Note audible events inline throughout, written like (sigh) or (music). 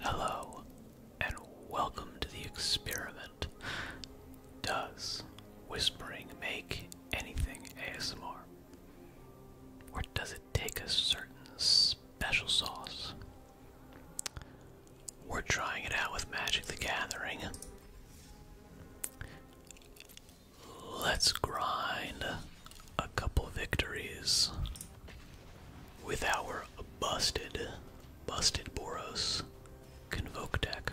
Hello, and welcome to the experiment. Does whispering make anything ASMR? Or does it take a certain special sauce? We're trying it out with Magic the Gathering. Let's grind a couple victories with our busted, busted Boros Convoke deck.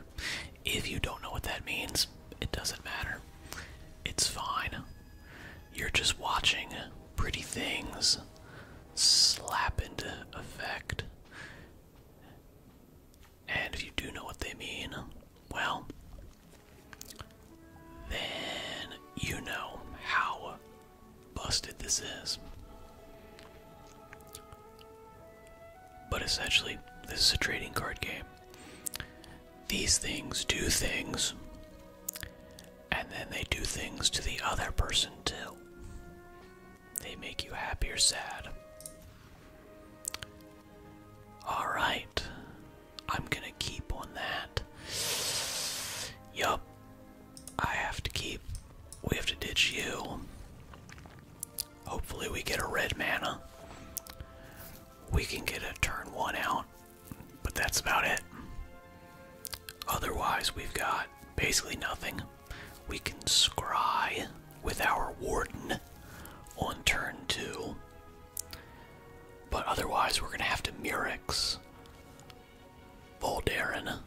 If you don't know what that means, it doesn't matter. It's fine. You're just watching pretty things slap into effect. And if you do know what they mean, well, then you know how busted this is. But essentially, this is a trading card game. These things do things, and then they do things to the other person too. They make you happy or sad. Alright, I'm gonna keep on that. Yup, I have to keep. We have to ditch you. Hopefully, we get a red mana. We can get a turn one out, but that's about it. Otherwise, we've got basically nothing. We can scry with our warden on turn two, but otherwise, we're gonna have to mirex. Voldaren.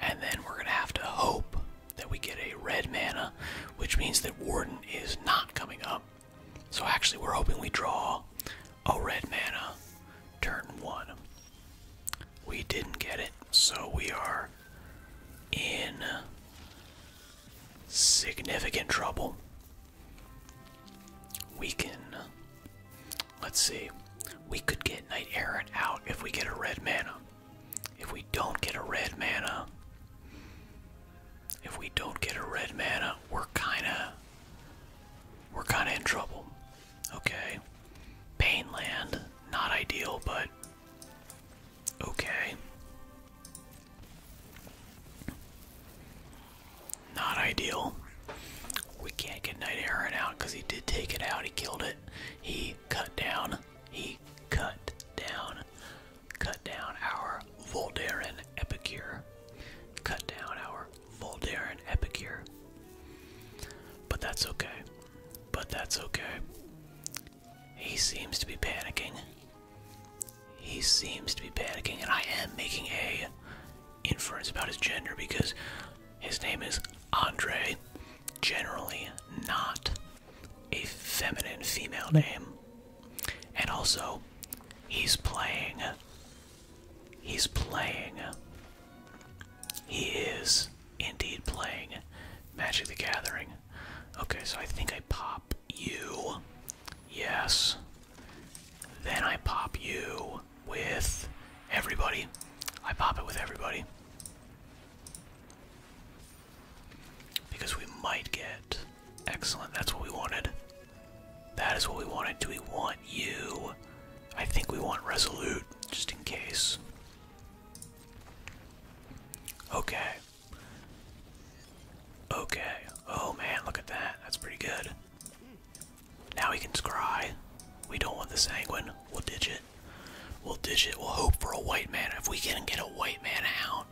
And then we're going to have to hope that we get a red mana, which means that Warden is not coming up. So actually, we're hoping we draw a red mana turn one. We didn't get it, so we are in significant trouble. We can. Let's see. We could get Knight Errant out if we get a red mana. If we don't get a red mana. If we don't get a red mana, we're kinda. We're kinda in trouble. Okay. Pain Land. Not ideal, but. Okay. Not ideal. We can't get Knight Aaron out because he did take it out. He killed it. He cut down. He cut down. Cut down our Voldaren Epicure. Cut down our Voldaren Epicure. But that's okay. But that's okay. He seems to be panicking. He seems to be panicking, and I am making a inference about his gender because his name is Andre. Generally, not a feminine female name. And also, he's playing. He's playing. He is indeed playing Magic the Gathering. Okay, so I think I pop you. Yes. Then I pop you with everybody. I pop it with everybody. Because we might get. Excellent, that's what we wanted. That is what we wanted. Do we want you? I think we want Resolute, just in case. Okay. Okay. Oh man, look at that. That's pretty good. Now we can scry. We don't want the sanguine. We'll ditch it. We'll ditch it. We'll hope for a white man. If we can get a white man out,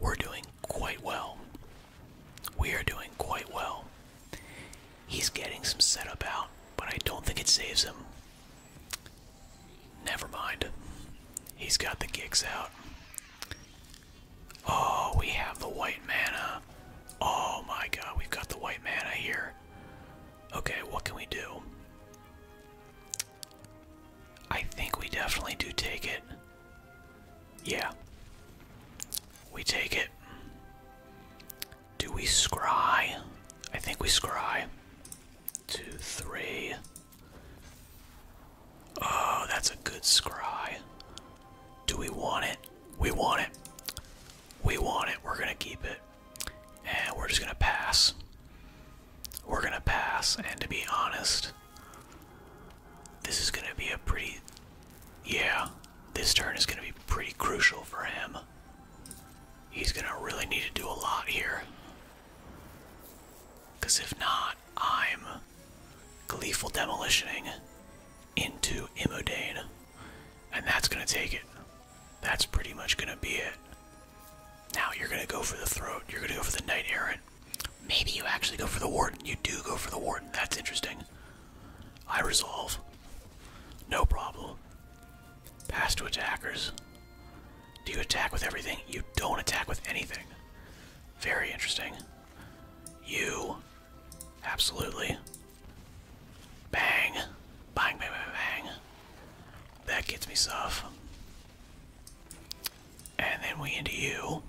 we're doing quite well. We are doing quite well. He's getting some setup out, but I don't think it saves him. Never mind. He's got the gigs out. Oh, we have the white mana. Oh my god, we've got the white mana here. Okay, what can we do? I think we definitely do take it. Yeah. We take it. Do we scry? I think we scry. Two, three. Oh, that's a good scry. Do we want it? We want it. We want it. We're gonna keep it. And we're just gonna pass. We're gonna pass, and to be honest, this is gonna be a pretty. Yeah, this turn is gonna be pretty crucial for him. He's gonna really need to do a lot here. Because if not, I'm gleeful demolitioning into Immodane. And that's gonna take it. That's pretty much gonna be it. Now you're gonna go for the throat, you're gonna go for the knight errant. Maybe you actually go for the warden. You do go for the warden. That's interesting. I resolve. No problem. Pass to attackers. Do you attack with everything? You don't attack with anything. Very interesting. You. Absolutely. Bang. Bang, bang, bang, That gets me soft. And then we into you.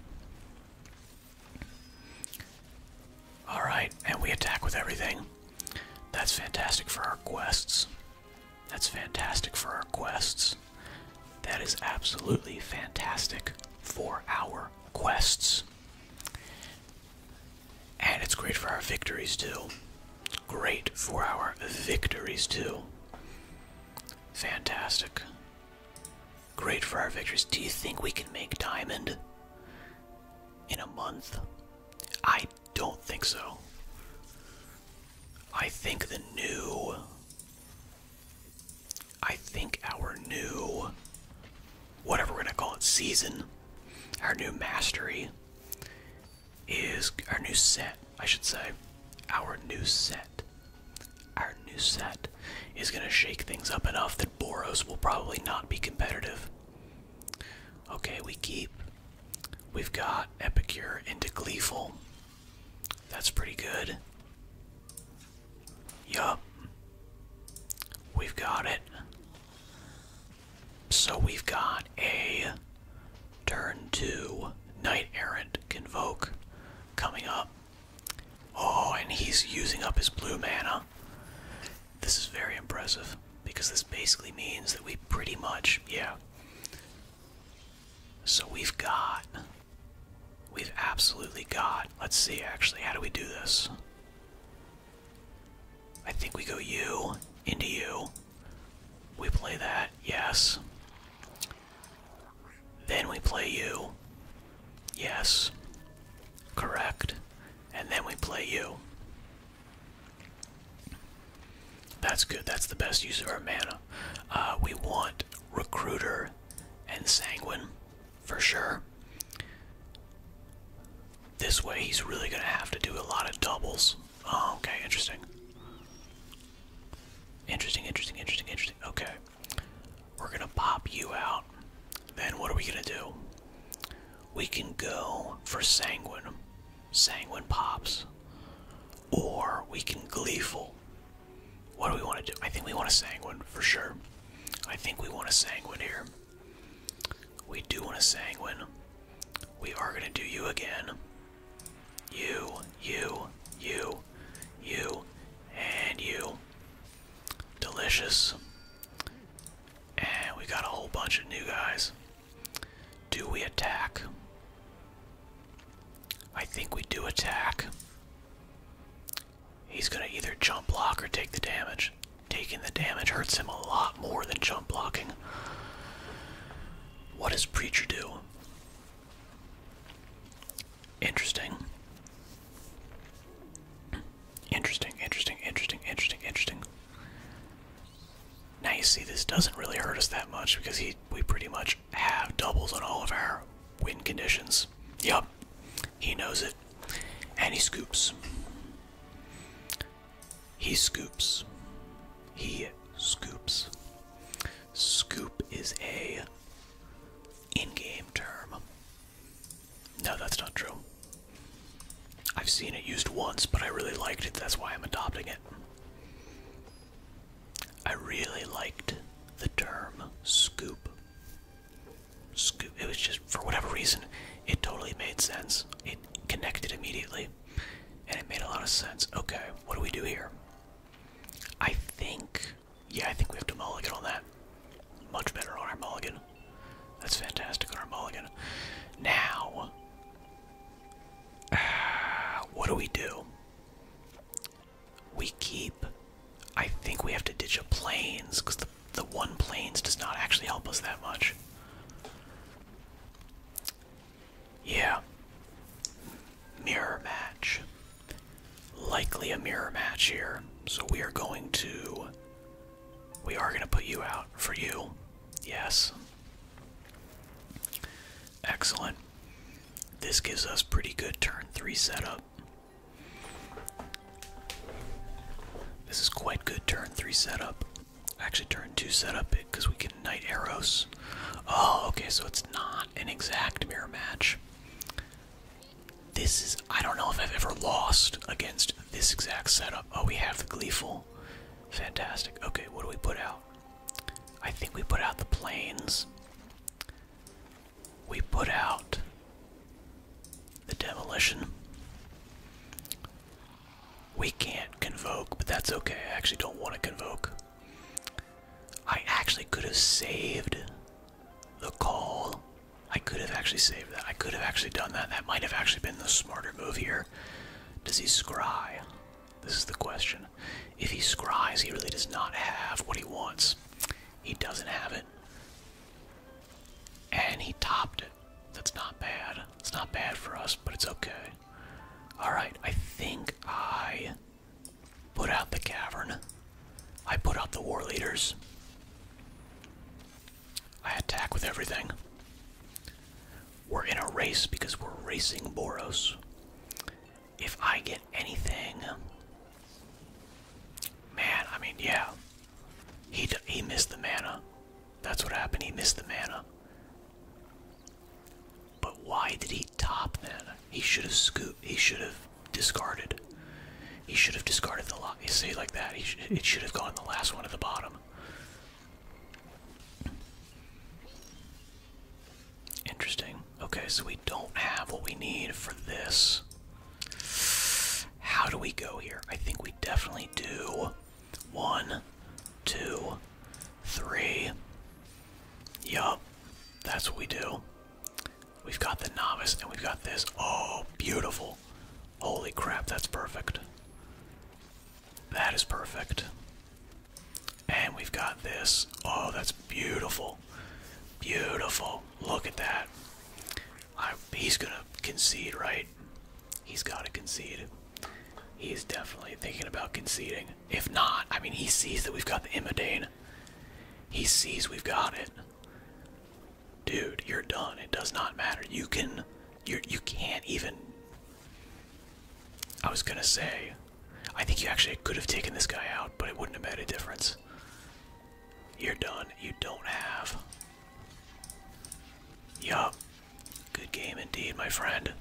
Alright, and we attack with everything. That's fantastic for our quests. That's fantastic for our quests. That is absolutely fantastic for our quests. And it's great for our victories too. Great for our victories too. Fantastic. Great for our victories. Do you think we can make diamond in a month? I don't think so. I think the new. I think our new. Whatever we're gonna call it, season. Our new mastery is our new set, I should say. Our new set. Our new set is gonna shake things up enough that Boros will probably not be competitive. Okay, we keep. We've got Epicure into Gleeful. That's pretty good. Yup. We've got it. So we've got a turn two knight errant convoke coming up. Oh, and he's using up his blue mana. This is very impressive because this basically means that we pretty much, yeah, so we've got. We've absolutely got. Let's see, actually. How do we do this? I think we go you, into you. We play that, yes. Then we play you. Yes. Correct. And then we play you. That's good. That's the best use of our mana. Uh, we want Recruiter and Sanguine for sure. This way, he's really going to have to do a lot of doubles. Oh, okay, interesting. Interesting, interesting, interesting, interesting. Okay. We're going to pop you out. Then what are we going to do? We can go for Sanguine sanguine pops, or we can gleeful. What do we want to do? I think we want a sanguine for sure. I think we want a sanguine here. We do want a sanguine. We are going to do you again. You, you, you, you, and you. Delicious. And we got a whole bunch of new guys. Do we attack? I think we do attack. He's gonna either jump block or take the damage. Taking the damage hurts him a lot more than jump blocking. What does Preacher do? Interesting. Interesting, interesting, interesting, interesting, interesting. Now you see this doesn't really hurt us that much because he we pretty much have doubles on all of our win conditions. Yup, he knows it. And he scoops. He scoops. He scoops. Scoop is a in-game term. No, that's not true. I've seen it used once, but I really liked it. That's why I'm adopting it. I really liked the term scoop. Scoop. It was just, for whatever reason, it totally made sense. It connected immediately, and it made a lot of sense. Okay, what do we do here? I think, yeah, I think we have to mulligan on that. Much better on our mulligan. That's fantastic on our mulligan. Now, (sighs) what do we do? We keep. I think we have to ditch a planes because the the one planes does not actually help us that much. Yeah. Mirror match. Likely a mirror match here. So we are going to we are going to put you out for you. Yes. Excellent. This gives us pretty good turn 3 setup. This is quite good turn 3 setup. Actually, turn 2 setup because we can knight arrows. Oh, okay, so it's not an exact mirror match. This is, I don't know if I've ever lost against this exact setup. Oh, we have the gleeful. Fantastic. Okay, what do we put out? I think we put out the planes. We put out the demolition. We can't convoke, but that's okay. I actually don't want to convoke. I actually could have saved the call I could have actually saved that. I could have actually done that. That might have actually been the smarter move here. Does he scry? This is the question. If he scries, he really does not have what he wants. He doesn't have it. And he topped it. That's not bad. It's not bad for us, but it's okay. Alright, I think I put out the cavern. I put out the war leaders. I attack with everything. We're in a race because we're racing Boros. If I get anything, man, I mean, yeah, he he missed the mana. That's what happened. He missed the mana. But why did he top then? He should have scooped. He should have discarded. He should have discarded the lock. See, like that, it should have gone the last one at the bottom. Interesting. Okay, so we don't have what we need for this. How do we go here? I think we definitely do. One, two, three. Yup, that's what we do. We've got the novice and we've got this. Oh, beautiful. Holy crap, that's perfect. That is perfect. And we've got this. Oh, that's beautiful. Beautiful. Look at that. he's going to concede, right? He's got to concede. He's definitely thinking about conceding. If not, I mean, he sees that we've got the Imidane. He sees we've got it dude, you're done. It does not matter. You can, you you can't even. I was gonna say, I think you actually could have taken this guy out, but it wouldn't have made a difference. You're done. You don't have. Yup. Good game indeed, my friend.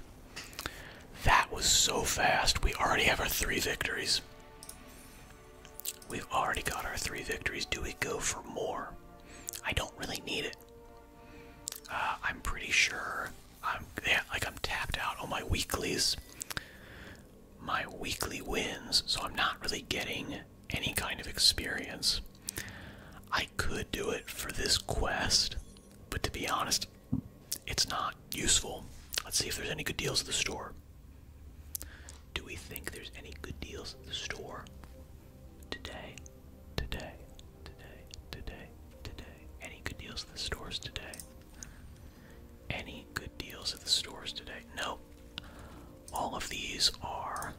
That was so fast. We already have our three victories. We've already got our three victories. Do we go for more? I don't really need it. Uh, I'm pretty sure I'm like I'm tapped out on my weeklies, my weekly wins, so I'm not really getting any kind of experience. I could do it for this quest, but to be honest, it's not useful. Let's see if there's any good deals at the store. Do we think there's any good deals at the store? Today, today, today, today, today. Any good deals at the stores today? Any good deals at the stores today? No. All of these are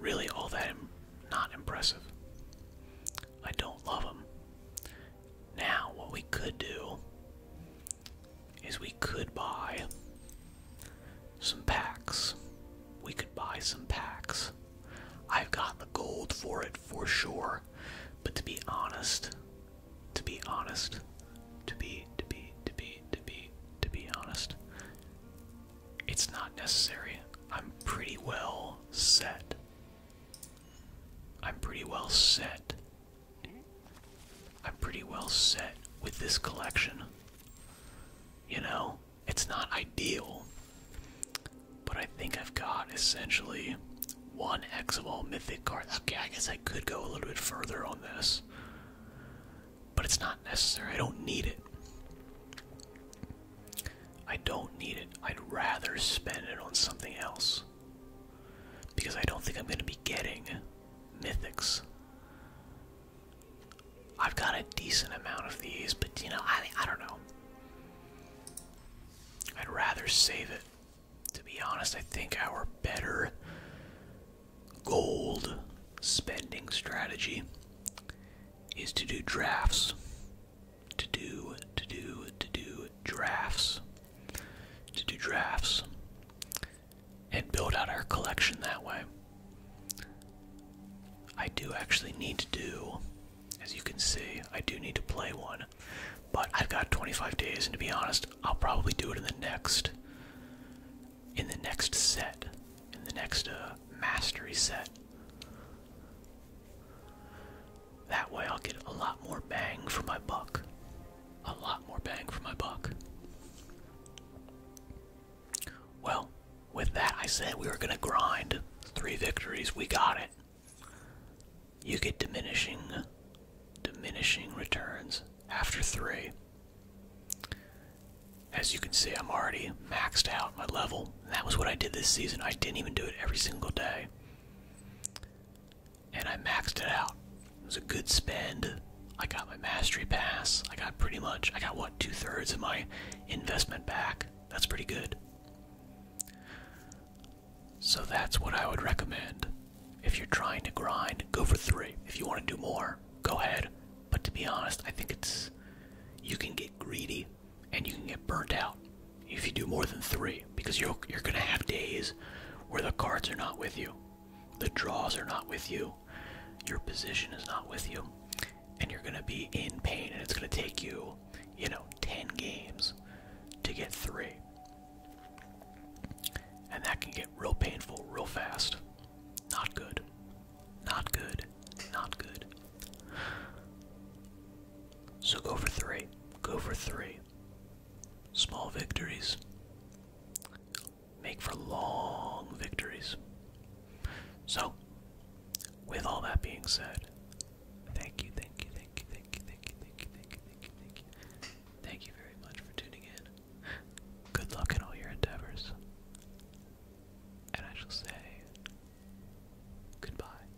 really all that Im not impressive. I don't love them. Now, what we could do is we could buy some packs. We could buy some packs. I've got the gold for it for sure, but to be honest, to be honest, to be, to be, to be, to be, to be honest, it's not necessary. I'm pretty well set. I'm pretty well set I'm pretty well set with this collection. You know, it's not ideal, but I think I've got essentially one X of all mythic cards. Okay, I guess I could go a little bit further on this, but it's not necessary. I don't need it. I don't need it. I'd rather spend it on something else. Because I don't think I'm going to be getting mythics. I've got a decent amount of these, but you know, I, I don't know. I'd rather save it. To be honest, I think our better gold spending strategy is to do drafts. To do, to do, to do drafts to do drafts and build out our collection that way. I do actually need to do, as you can see, I do need to play one, but I've got 25 days, and to be honest, I'll probably do it in the next, in the next set, in the next uh, mastery set. That way I'll get a lot more bang for my buck. A lot more bang for my buck. Well, with that, I said we were going to grind three victories. We got it. You get diminishing, diminishing returns after three. As you can see, I'm already maxed out my level. that was what I did this season. I didn't even do it every single day and I maxed it out. It was a good spend. I got my mastery pass. I got pretty much, I got what, two thirds of my investment back. That's pretty good. So that's what I would recommend. If you're trying to grind, go for three. If you want to do more, go ahead. But to be honest, I think it's, you can get greedy and you can get burnt out if you do more than three because you're, you're going to have days where the cards are not with you the draws are not with you your position is not with you and you're going to be in pain and it's going to take you you know 10 games to get three and that can get real painful real fast not good not good not good so go for three. Go for three. Small victories make for long victories. So, with all that being said, thank you, thank you, thank you, thank you, thank you, thank you, thank you, thank you, thank you. Thank you very much for tuning in. Good luck in all your endeavors. And I shall say goodbye.